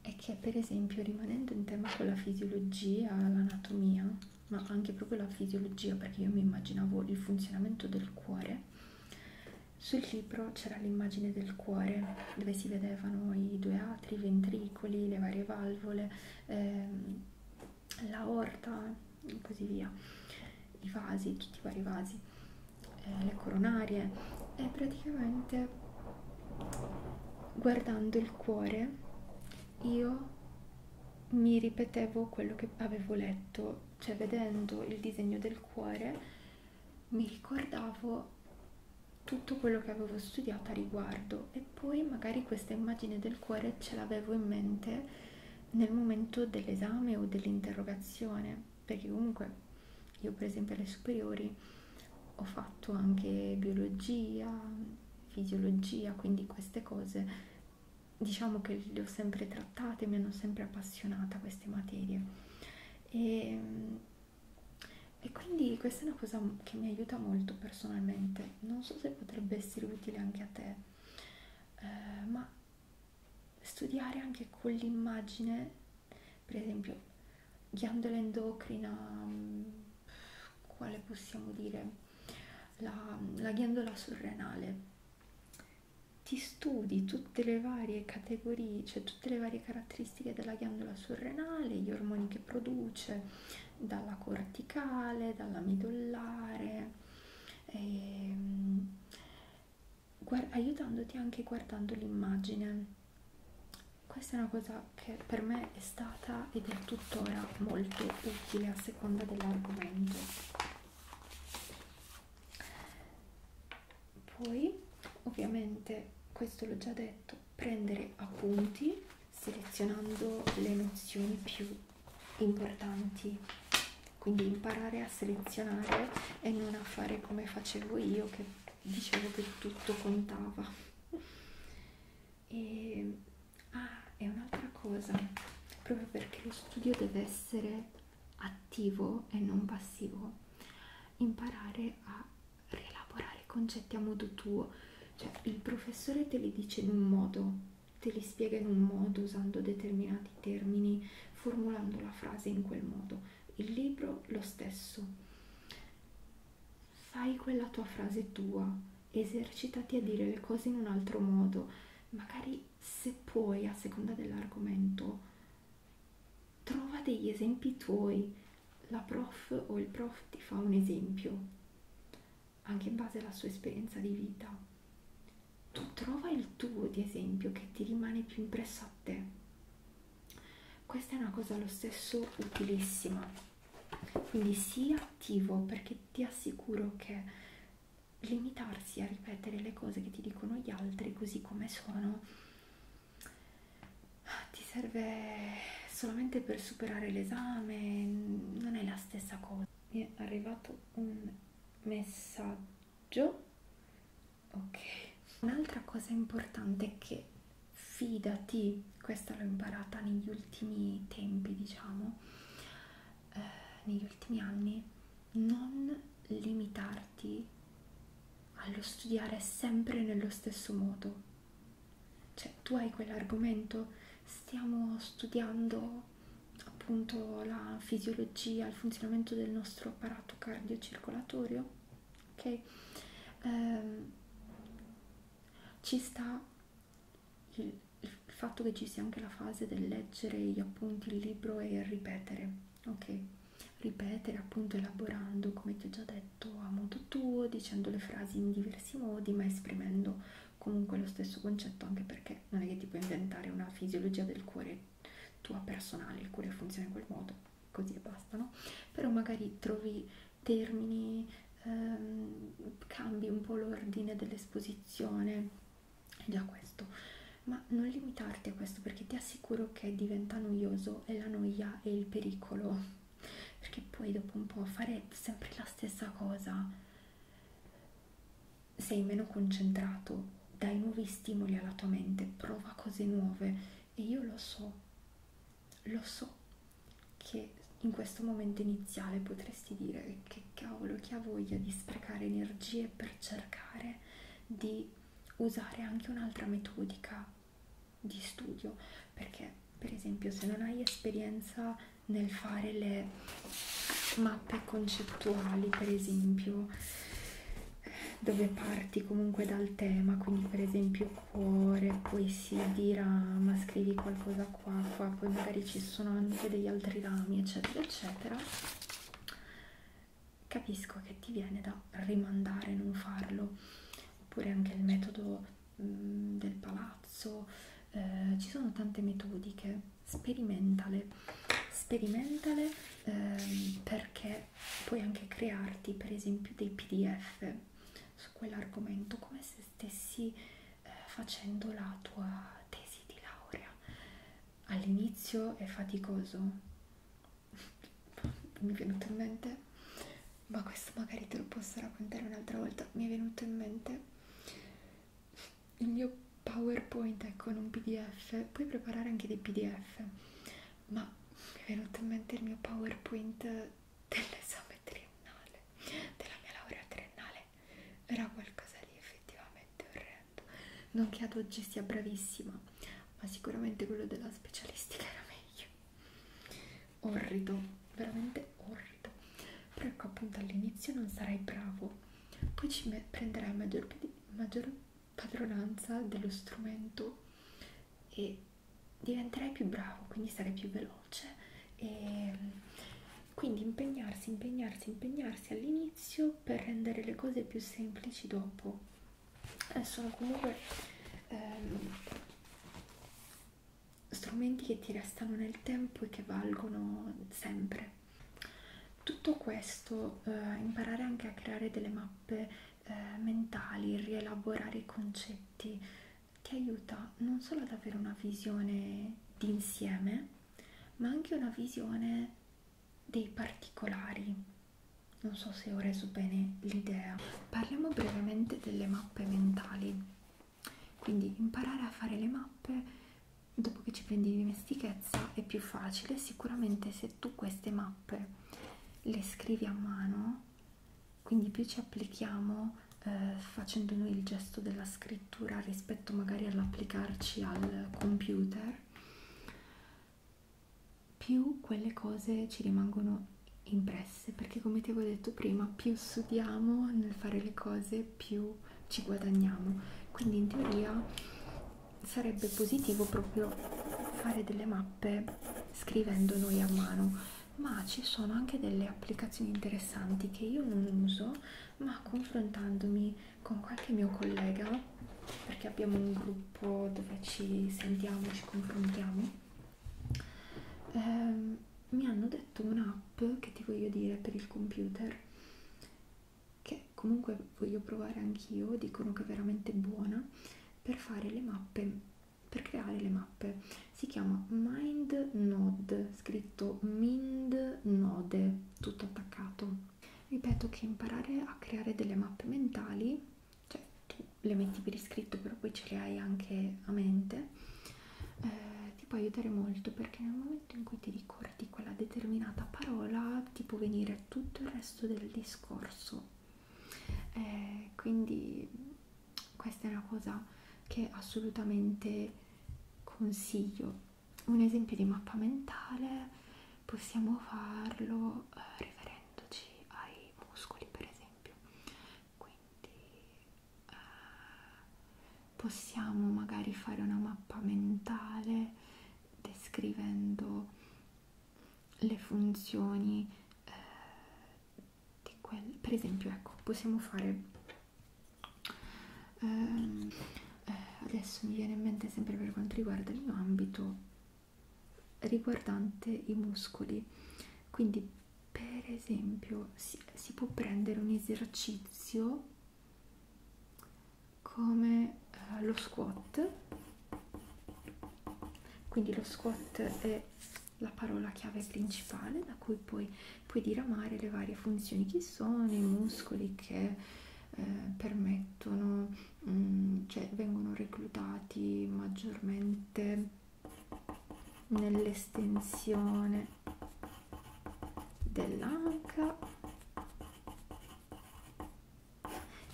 è che per esempio rimanendo in tema con la fisiologia, l'anatomia ma anche proprio la fisiologia perché io mi immaginavo il funzionamento del cuore sul libro c'era l'immagine del cuore dove si vedevano i due atri, i ventricoli, le varie valvole ehm, l'aorta e così via, i vasi, tutti i vari vasi, eh, le coronarie e praticamente guardando il cuore io mi ripetevo quello che avevo letto, cioè vedendo il disegno del cuore mi ricordavo tutto quello che avevo studiato a riguardo e poi magari questa immagine del cuore ce l'avevo in mente nel momento dell'esame o dell'interrogazione perché comunque io per esempio alle superiori ho fatto anche biologia, fisiologia, quindi queste cose diciamo che le ho sempre trattate, mi hanno sempre appassionata queste materie e e quindi questa è una cosa che mi aiuta molto personalmente non so se potrebbe essere utile anche a te eh, ma studiare anche con l'immagine per esempio ghiandola endocrina mm, quale possiamo dire la, la ghiandola surrenale ti studi tutte le varie categorie, cioè tutte le varie caratteristiche della ghiandola surrenale, gli ormoni che produce, dalla corticale, dalla midollare, e, ehm, aiutandoti anche guardando l'immagine. Questa è una cosa che per me è stata ed è tuttora molto utile a seconda dell'argomento. Poi, ovviamente, questo l'ho già detto fatto prendere appunti selezionando le nozioni più importanti quindi imparare a selezionare e non a fare come facevo io che dicevo che tutto contava e ah, è un'altra cosa proprio perché lo studio deve essere attivo e non passivo imparare a rielaborare i concetti a modo tuo, cioè il professore te li dice in un modo, te li spiega in un modo usando determinati termini, formulando la frase in quel modo, il libro lo stesso. Fai quella tua frase tua, esercitati a dire le cose in un altro modo, magari se puoi a seconda dell'argomento trova degli esempi tuoi la prof o il prof ti fa un esempio anche in base alla sua esperienza di vita tu trova il tuo di esempio che ti rimane più impresso a te questa è una cosa lo stesso utilissima quindi sii attivo perché ti assicuro che limitarsi a ripetere le cose che ti dicono gli altri così come sono ti serve solamente per superare l'esame, non è la stessa cosa. Mi è arrivato un messaggio. Ok. Un'altra cosa importante è che fidati, questa l'ho imparata negli ultimi tempi, diciamo, eh, negli ultimi anni, non limitarti allo studiare sempre nello stesso modo cioè tu hai quell'argomento, stiamo studiando appunto la fisiologia, il funzionamento del nostro apparato cardiocircolatorio, ok? Ehm, ci sta il, il fatto che ci sia anche la fase del leggere gli appunti, il libro e ripetere, ok? Ripetere appunto elaborando, come ti ho già detto detto a modo tuo, dicendo le frasi in diversi modi, ma esprimendo comunque lo stesso concetto, anche perché non è che ti puoi inventare una fisiologia del cuore tua personale, il cuore funziona in quel modo, così e basta, no? Però magari trovi termini, ehm, cambi un po' l'ordine dell'esposizione, è già questo. Ma non limitarti a questo perché ti assicuro che diventa noioso e la noia è il pericolo perché poi dopo un po' fare sempre la stessa cosa sei meno concentrato dai nuovi stimoli alla tua mente prova cose nuove e io lo so lo so che in questo momento iniziale potresti dire che cavolo chi ha voglia di sprecare energie per cercare di usare anche un'altra metodica di studio perché per esempio se non hai esperienza nel fare le mappe concettuali per esempio dove parti comunque dal tema quindi per esempio cuore poi si dirama scrivi qualcosa qua qua poi magari ci sono anche degli altri rami eccetera eccetera capisco che ti viene da rimandare non farlo oppure anche il metodo mh, mm, del palazzo, eh, ci sono tante metodiche, sperimentale, sperimentale eh, perché puoi anche crearti per esempio dei pdf su quell'argomento come se stessi eh, facendo la tua tesi di laurea. All'inizio è faticoso, <laughs> mi è venuto in mente ma questo magari te lo posso raccontare un'altra volta mi è venuto in mente il mio powerpoint è con ecco, un pdf puoi preparare anche dei pdf ma mi è venuto in mente il mio powerpoint dell'esame triennale della mia laurea triennale era qualcosa di effettivamente orrendo non che ad oggi sia bravissima ma sicuramente quello della specialistica era meglio orrido, veramente orrido. Però ecco appunto all'inizio non sarai bravo, poi ci prenderai maggior, maggior padronanza dello strumento e diventerai più bravo, quindi sarai più veloce. E ehm, quindi impegnarsi, impegnarsi, impegnarsi all'inizio per rendere le cose più semplici dopo. Eh, sono comunque ehm, strumenti che ti restano nel tempo e che valgono sempre. Tutto questo, eh, imparare anche a creare delle mappe eh, mentali, rielaborare i concetti, ti aiuta non solo ad avere una visione d'insieme, ma anche una visione dei particolari. Non so se ho reso bene l'idea. Parliamo brevemente delle mappe mentali quindi imparare a fare le mappe dopo che ci prendi dimestichezza è più facile sicuramente se tu queste mappe le scrivi a mano quindi più ci applichiamo eh, facendo noi il gesto della scrittura rispetto magari all'applicarci al computer più quelle cose ci rimangono impresse perché come ti avevo detto prima più studiamo nel fare le cose più ci guadagniamo quindi in teoria sarebbe positivo proprio fare delle mappe scrivendo noi a mano ma ci sono anche delle applicazioni interessanti che io non uso ma confrontandomi con qualche mio collega perché abbiamo un gruppo dove ci sentiamo ci confrontiamo eh, mi hanno detto un'app che ti voglio dire per il computer che comunque voglio provare anch'io dicono che è veramente buona per fare le mappe per creare le mappe si chiama mind node scritto mind node tutto attaccato ripeto che imparare a creare delle mappe mentali cioè tu le metti per iscritto però poi ce le hai anche a mente eh, ti può aiutare molto perché nel momento in cui ti ricordi quella determinata parola ti può venire tutto il resto del discorso eh, quindi questa è una cosa che assolutamente consiglio un esempio di mappa mentale possiamo farlo eh, riferendoci ai muscoli per esempio quindi eh, possiamo magari fare una mappa mentale descrivendo le funzioni eh, di quel per esempio ecco possiamo fare ehm, eh, adesso mi viene in mente sempre per quanto riguarda il mio ambito riguardante i muscoli quindi per esempio si, si può prendere un esercizio come eh, lo squat quindi lo squat è la parola chiave principale da cui puoi, puoi diramare le varie funzioni che sono i muscoli che eh, permettono mh, mm, cioè vengono reclutati maggiormente nell'estensione dell'anca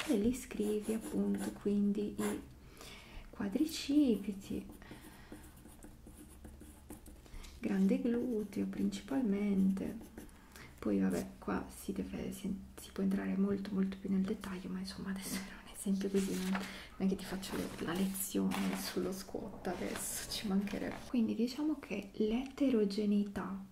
e li scrivi appunto quindi i quadricipiti grande gluteo principalmente poi vabbè qua si deve si, si può entrare molto molto più nel dettaglio ma insomma adesso era <laughs> un esempio così non, non è che ti faccio la lezione sullo squat adesso, ci mancherebbe. Quindi diciamo che l'eterogeneità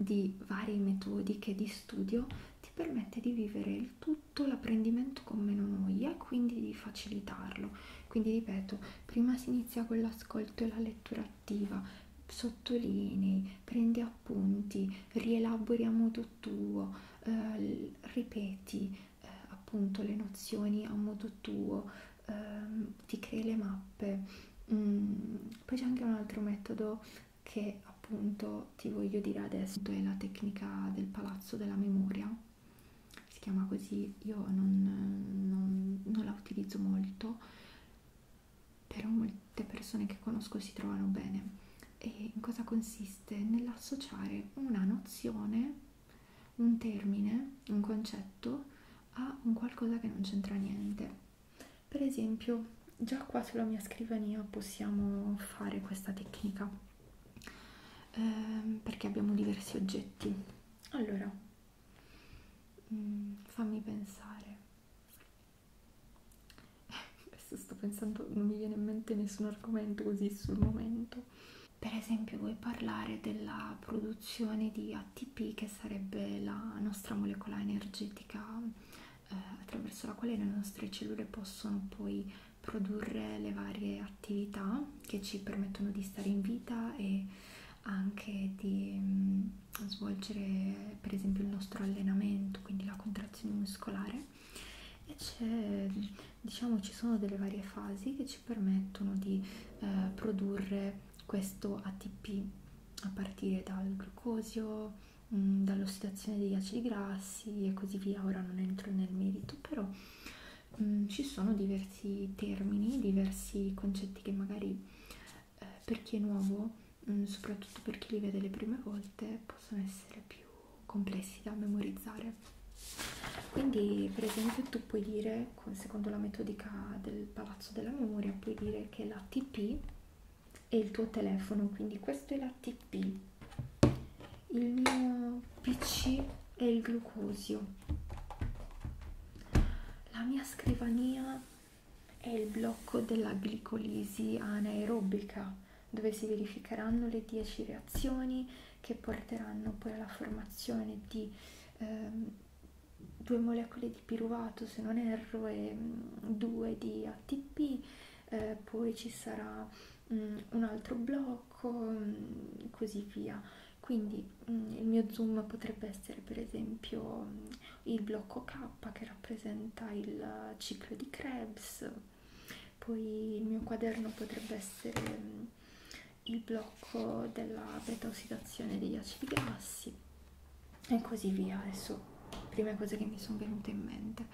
di varie metodiche di studio ti permette di vivere il tutto l'apprendimento con meno noia e quindi di facilitarlo. Quindi ripeto, prima si inizia con l'ascolto e la lettura attiva, sottolinei, prendi appunti, rielabori a modo tuo, eh, ripeti eh, appunto le nozioni a modo tuo, eh, ti crei le mappe. Mm, poi c'è anche un altro metodo che appunto ti voglio dire adesso, è la tecnica del palazzo della memoria, si chiama così, io non, non, non la utilizzo molto, però molte persone che conosco si trovano bene. E in cosa consiste? consiste nell'associare una nozione, un termine, un concetto a un qualcosa che non c'entra niente. Per esempio, già qua sulla mia scrivania possiamo fare questa tecnica ehm, perché abbiamo diversi oggetti. Allora, mm, fammi pensare adesso sto pensando, non mi viene in mente nessun argomento così sul momento. Per esempio, vuoi parlare della produzione di ATP, che sarebbe la nostra molecola energetica eh, attraverso la quale le nostre cellule possono poi produrre le varie attività che ci permettono di stare in vita e anche di mh, mm, svolgere per esempio il nostro allenamento, quindi la contrazione muscolare e c'è diciamo ci sono delle varie fasi che ci permettono di eh, produrre questo ATP a partire dal glucosio, mh, mm, dall'ossidazione degli acidi grassi e così via. Ora non entro nel merito, però mh, mm, ci sono diversi termini, diversi concetti che magari eh, per chi è nuovo, mh, mm, soprattutto per chi li vede le prime volte, possono essere più complessi da memorizzare. Quindi, per esempio, tu puoi dire, secondo la metodica del palazzo della memoria, puoi dire che la TP è il tuo telefono, quindi questo è la TP, il mio PC è il glucosio, la mia scrivania è il blocco della glicolisi anaerobica dove si verificheranno le 10 reazioni che porteranno poi alla formazione di ehm, due molecole di piruvato, se non erro, e mh, mm, due di ATP, eh, poi ci sarà mh, mm, un altro blocco, mh, mm, così via. Quindi mh, il mio zoom potrebbe essere per esempio mh, il blocco K che rappresenta il eh, ciclo di Krebs poi il mio quaderno potrebbe essere mm, il blocco della beta ossidazione degli acidi grassi e così via adesso prime cose che mi sono venute in mente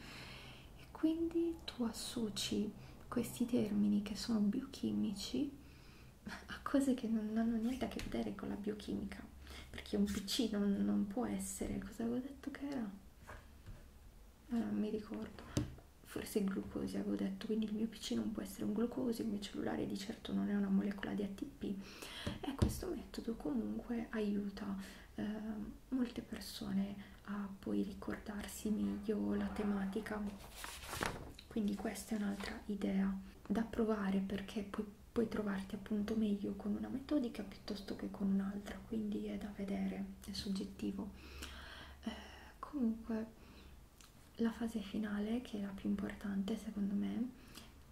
e quindi tu associ questi termini che sono biochimici a cose che non hanno niente a che vedere con la biochimica perché un pc non, non può essere cosa avevo detto che era eh, non mi ricordo, forse il glucosio avevo detto, quindi il mio PC non può essere un glucosio, il mio cellulare di certo non è una molecola di ATP e questo metodo comunque aiuta eh, molte persone a poi ricordarsi meglio la tematica, quindi questa è un'altra idea da provare perché puoi, puoi trovarti appunto meglio con una metodica piuttosto che con un'altra, quindi è da vedere è soggettivo. Eh, comunque la fase finale, che è la più importante secondo me,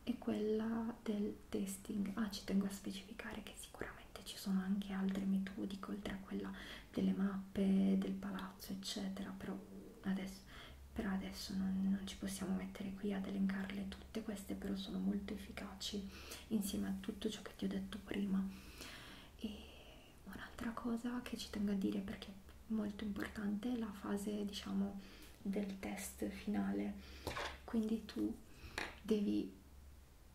è quella del testing. Ah, ci tengo a specificare che sicuramente ci sono anche altre metodiche, oltre a quella delle mappe, del palazzo, eccetera, però adesso, per adesso non, non ci possiamo mettere qui ad elencarle tutte, queste però sono molto efficaci insieme a tutto ciò che ti ho detto prima e un'altra cosa che ci tengo a dire perché è molto importante è la fase, diciamo, del test finale. Quindi tu devi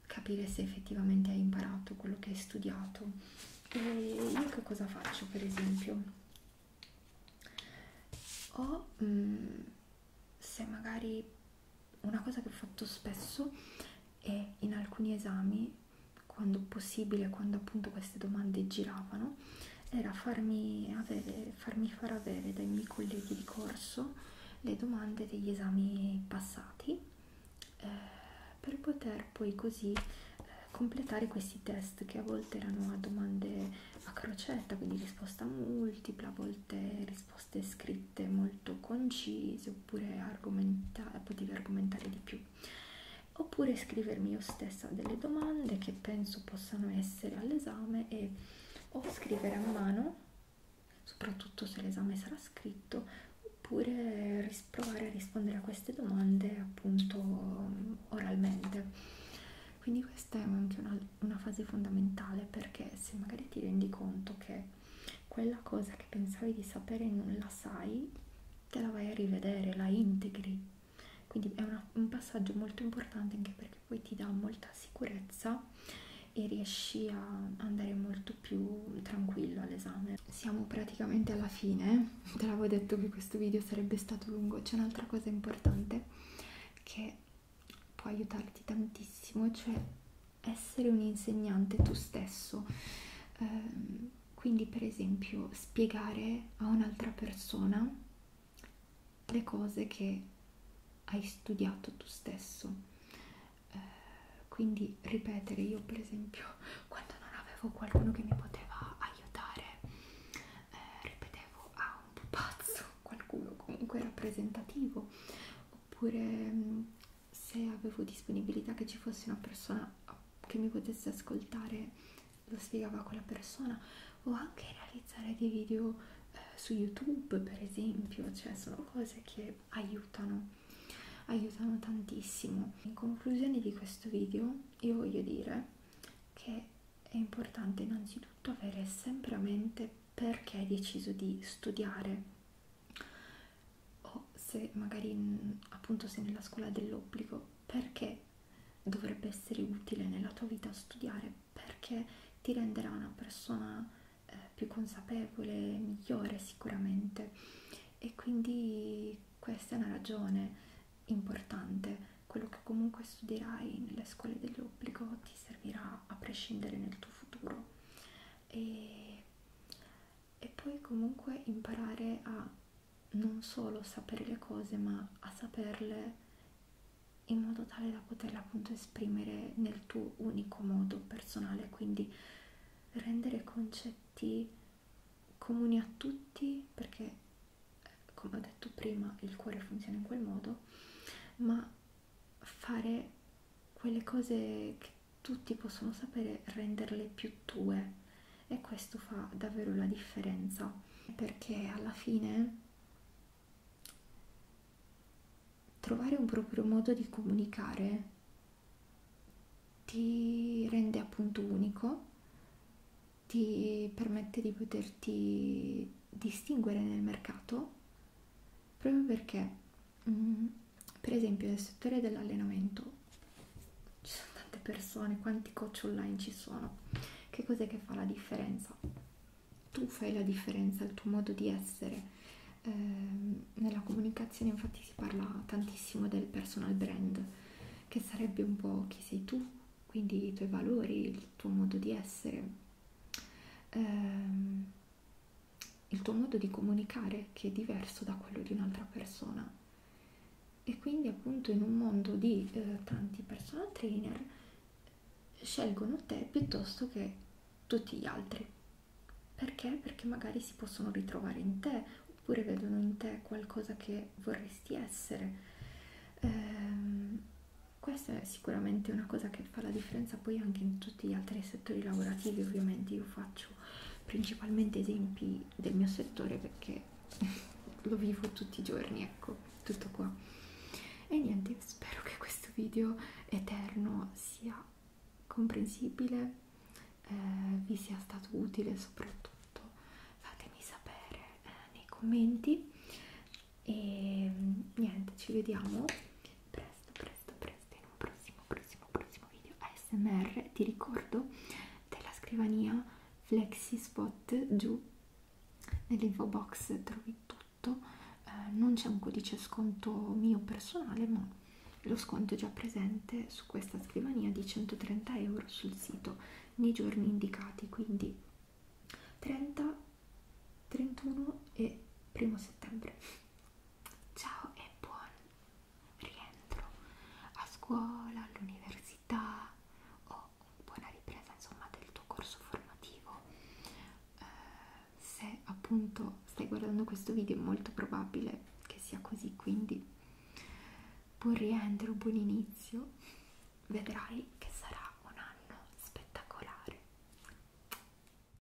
capire se effettivamente hai imparato quello che hai studiato. E io che cosa faccio, per esempio? O mh, mm, se magari una cosa che ho fatto spesso è in alcuni esami, quando possibile, quando appunto queste domande giravano, era farmi, avere, farmi far avere dai miei colleghi di corso le domande degli esami passati eh, per poter poi così eh, completare questi test che a volte erano a domande a crocetta, quindi risposta multipla, a volte risposte scritte dirette, molto concise, oppure argomenta potevi argomentare di più, oppure scrivermi io stessa delle domande che penso possano essere all'esame e o scrivere a mano, soprattutto se l'esame sarà scritto, oppure provare a rispondere a queste domande appunto oralmente. Quindi questa è anche una, una fase fondamentale perché se magari ti rendi conto che quella cosa che pensavi di sapere e non la sai, te la vai a rivedere, la integri. Quindi è una, un passaggio molto importante anche perché poi ti dà molta sicurezza e riesci a andare molto più tranquillo all'esame. Siamo praticamente alla fine, te l'avevo detto che questo video sarebbe stato lungo. C'è un'altra cosa importante che può aiutarti tantissimo, cioè essere un insegnante tu stesso eh, quindi per esempio spiegare a un'altra persona le cose che hai studiato tu stesso eh, quindi ripetere io per esempio <laughs> quando non avevo qualcuno che mi poteva aiutare eh, ripetevo a ah, un pupazzo <laughs> qualcuno comunque rappresentativo oppure mm, se avevo disponibilità che ci fosse una persona che mi potesse ascoltare, lo spiegava quella persona, o anche realizzare dei video eh, su YouTube, per esempio, cioè sono cose che aiutano, aiutano tantissimo. In conclusione di questo video, io voglio dire che è importante innanzitutto avere sempre a mente perché hai deciso di studiare o se magari mm, appunto sei nella scuola dell'obbligo, perché dovrebbe essere utile nella tua vita studiare, perché ti renderà una persona eh, più consapevole, migliore sicuramente. E quindi questa è una ragione importante. Quello che comunque studierai nelle scuole dell'obbligo ti servirà a prescindere nel tuo futuro. E e poi comunque imparare a non solo sapere le cose ma a saperle in modo tale da poterle appunto esprimere nel tuo unico modo personale quindi rendere concetti comuni a tutti perché come ho detto prima il cuore funziona in quel modo ma fare quelle cose che tutti possono sapere renderle più tue e questo fa davvero la differenza perché alla fine trovare un proprio modo di comunicare ti rende appunto unico ti permette di poterti distinguere nel mercato proprio perché mh, mm, per esempio nel settore dell'allenamento ci sono tante persone, quanti coach online ci sono, che cos'è che fa la differenza? Tu fai la differenza, il tuo modo di essere. Eh, nella comunicazione infatti si parla tantissimo del personal brand, che sarebbe un po' chi sei tu, quindi i tuoi valori, il tuo modo di essere. Eh, il tuo modo di comunicare che è diverso da quello di un'altra persona e quindi appunto in un mondo di eh, tanti personal trainer scelgono te piuttosto che tutti gli altri perché? Perché magari si possono ritrovare in te oppure vedono in te qualcosa che vorresti essere. Ehm, questa è sicuramente una cosa che che fa la differenza poi anche in tutti gli altri settori lavorativi ovviamente io faccio principalmente esempi del mio settore perché <laughs> lo vivo tutti i giorni ecco tutto qua e niente spero che questo video eterno sia comprensibile eh, vi sia stato utile soprattutto fatemi sapere eh, nei commenti e mm, niente ci vediamo presto presto presto in un prossimo prossimo prossimo video ASMR ti ricordo della scrivania flexi spot giù nell'info box trovi tutto eh, non c'è un codice sconto mio personale ma lo sconto è già presente su questa scrivania di 130 euro sul sito nei giorni indicati quindi 30 31 e primo settembre Ciao e buon rientro a scuola, all'università o buona ripresa insomma del tuo corso formativo. Eh, se appunto stai guardando questo video è molto probabile che sia così, quindi buon rientro, buon inizio. Vedrai che sarà un anno spettacolare.